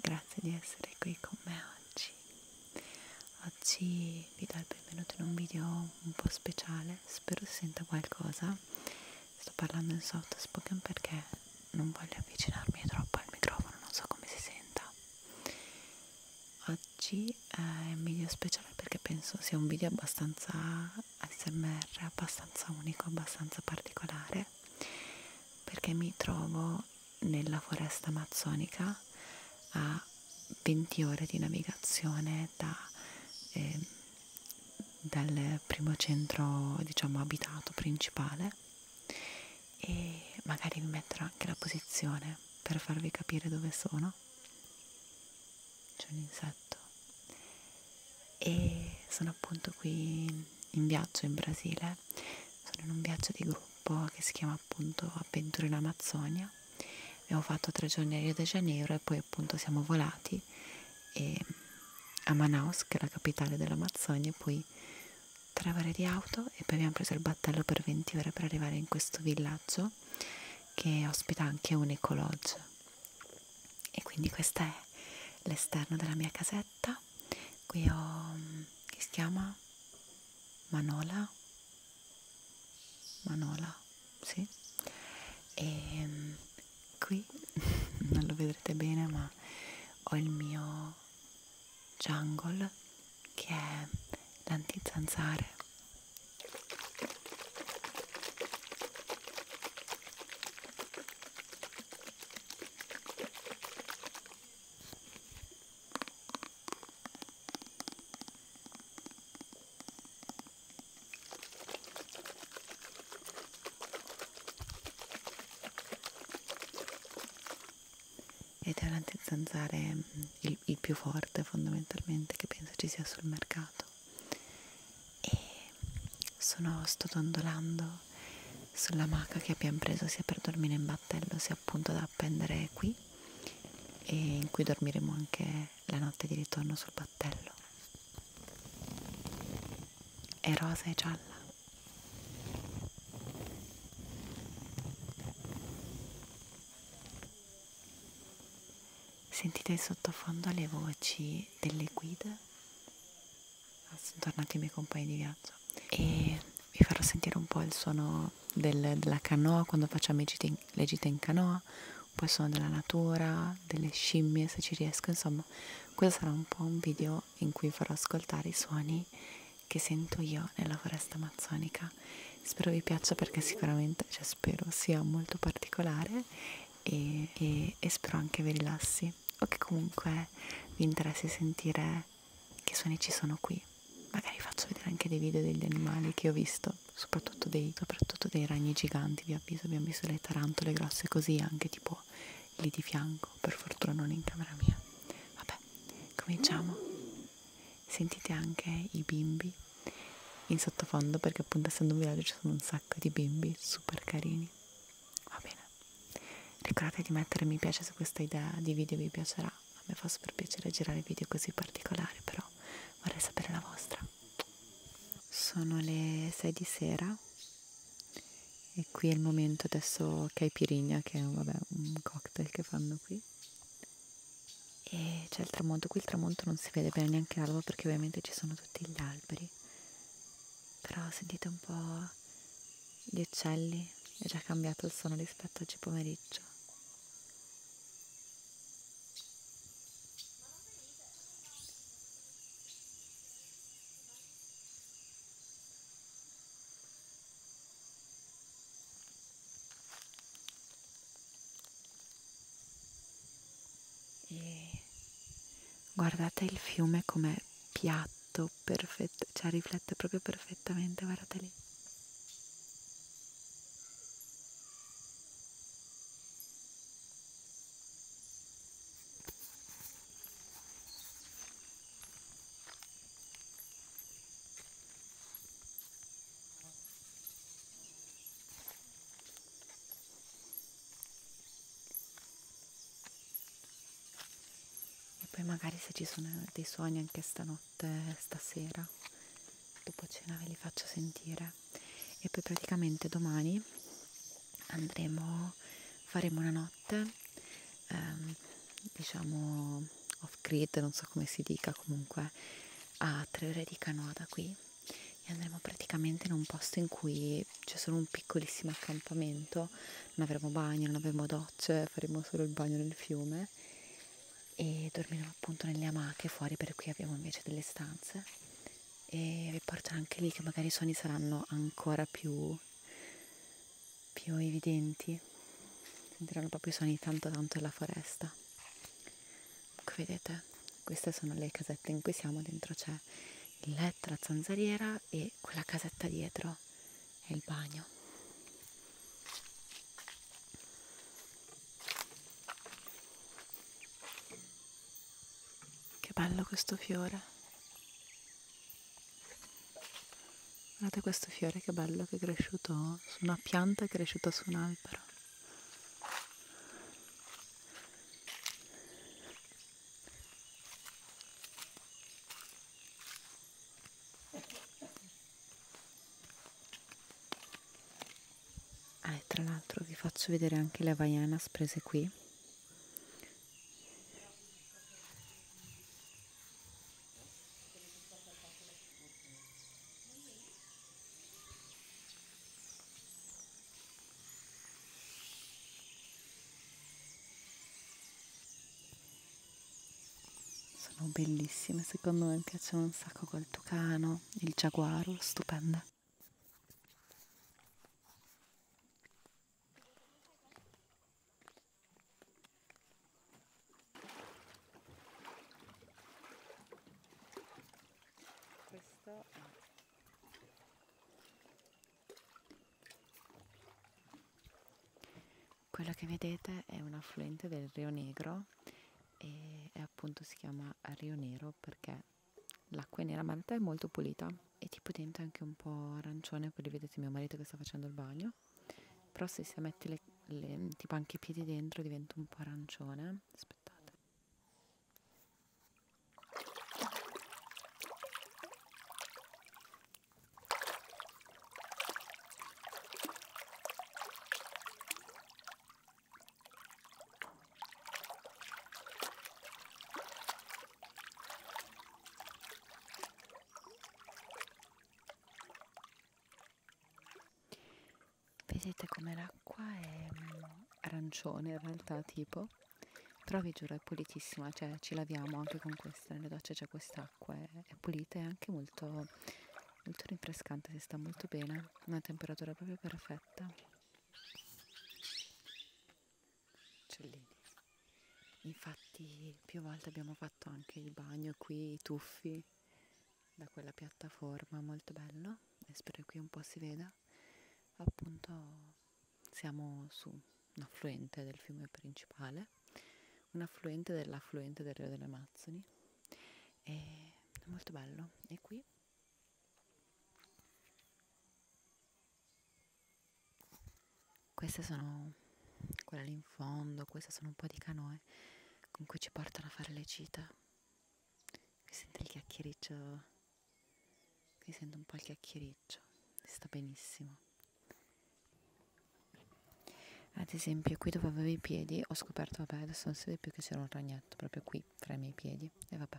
grazie di essere qui con me oggi. Oggi vi do il benvenuto in un video un po' speciale, spero si senta qualcosa. Sto parlando in soft spoken perché non voglio avvicinarmi troppo al microfono, non so come si senta. Oggi eh, è un video speciale perché penso sia un video abbastanza smr, abbastanza unico, abbastanza particolare perché mi trovo nella foresta amazzonica a 20 ore di navigazione da, eh, dal primo centro diciamo abitato principale e magari vi metterò anche la posizione per farvi capire dove sono c'è un insetto e sono appunto qui in viaggio in Brasile perché sono in un viaggio di gruppo che si chiama appunto Avventure in Amazzonia abbiamo fatto tre giorni a Rio de Janeiro e poi appunto siamo volati e a Manaus che è la capitale dell'Amazzonia e poi tre ore di auto e poi abbiamo preso il battello per 20 ore per arrivare in questo villaggio che ospita anche un ecolodge e quindi questo è l'esterno della mia casetta qui ho che si chiama Manola Manola sì e ehm, qui non lo vedrete bene ma ho il mio jungle che è l'antizanzare ed è l'antizanzare mm, il, il più forte fondamentalmente che penso ci sia sul mercato e sono, sto dondolando sulla maca che abbiamo preso sia per dormire in battello sia appunto da appendere qui e in cui dormiremo anche la notte di ritorno sul battello è rosa e gialla sentite sottofondo le voci delle guide Ah, sono tornati i miei compagni di viaggio e vi farò sentire un po' il suono del, della canoa quando facciamo gite in, le gite in canoa poi sono della natura, delle scimmie se ci riesco, insomma questo sarà un po' un video in cui farò ascoltare i suoni che sento io nella foresta amazzonica. Spero vi piaccia perché sicuramente, cioè spero sia molto particolare e, e, e spero anche vi rilassi o che comunque vi interessi sentire che suoni ci sono qui. Magari faccio vedere anche dei video degli animali che ho visto, soprattutto dei, soprattutto dei ragni giganti, vi avviso, abbiamo visto le tarantole grosse così, anche tipo lì di fianco, per fortuna non in camera mia. Vabbè, cominciamo. Sentite anche i bimbi in sottofondo perché appunto essendo un villaggio ci sono un sacco di bimbi super carini. Va bene. Ricordate di mettere mi piace se questa idea di video vi piacerà. A me fa super piacere girare video così particolari, però vorrei sapere la vostra. Sono le 6 di sera e qui è il momento adesso che hai pirigna, che è vabbè, un cocktail che fanno qui. E c'è il tramonto, qui il tramonto non si vede bene neanche l'alba perché ovviamente ci sono tutti gli alberi però sentite un po' gli uccelli, è già cambiato il suono rispetto a oggi pomeriggio. E guardate il fiume come piatto rifletto perfetto, cioè riflette proprio perfettamente, guardate lì e poi magari se ci sono dei sogni anche stanotte, stasera, dopo cena ve li faccio sentire e poi praticamente domani andremo, faremo una notte, ehm, diciamo off grid, non so come si dica comunque, a tre ore di canoa da qui e andremo praticamente in un posto in cui c'è solo un piccolissimo accampamento cielo, non avremo bagno, non avremo docce, faremo solo il bagno nel fiume e dormiremo appunto nelle amache fuori per cui abbiamo invece delle stanze e vi porto anche lì che magari i suoni saranno ancora più, più evidenti, sentiranno proprio i suoni tanto tanto della foresta. Ecco vedete, queste sono le casette in cui siamo, dentro c'è il letto, la zanzariera e quella casetta dietro questo è il bagno che bello questo fiore guardate questo fiore che bello che è cresciuto su una pianta è cresciuto su un albero Ah, e tra l'altro vi faccio vedere anche le Havaianas prese qui. Sono bellissime, secondo me piacciono un sacco col tucano, il giaguaro, stupenda. Questo è quello che vedete è un affluente del Rio Negro e appunto si chiama Rio Nero perché l'acqua è nera, ma in realtà è molto pulita e tipo dentro è anche un po' arancione, poi vedete mio marito che sta facendo il bagno, però se si mette le, le, tipo anche i piedi dentro diventa un po' arancione, aspettate. Vedete come l'acqua è arancione in realtà tipo però vi giuro è pulitissima cioè ci laviamo anche con questa nelle docce c'è quest'acqua è, è pulita e anche molto, molto rinfrescante si sta molto bene una temperatura proprio perfetta uccellini infatti più volte abbiamo fatto anche il bagno qui i tuffi da quella piattaforma molto bello e spero che qui un po' si veda appunto siamo su un affluente del fiume principale, un affluente dell'affluente del Rio delle Amazzoni. E è molto bello. E qui queste sono quella lì in fondo, queste sono un po' di canoe con cui ci portano a fare le cita. Qui sente il chiacchiericcio Qui sento un po' il chiacchiericcio, sta benissimo. Ad esempio qui dove avevo i piedi ho scoperto, vabbè adesso non si vede più che c'era un ragnetto proprio qui fra i miei piedi e vabbè.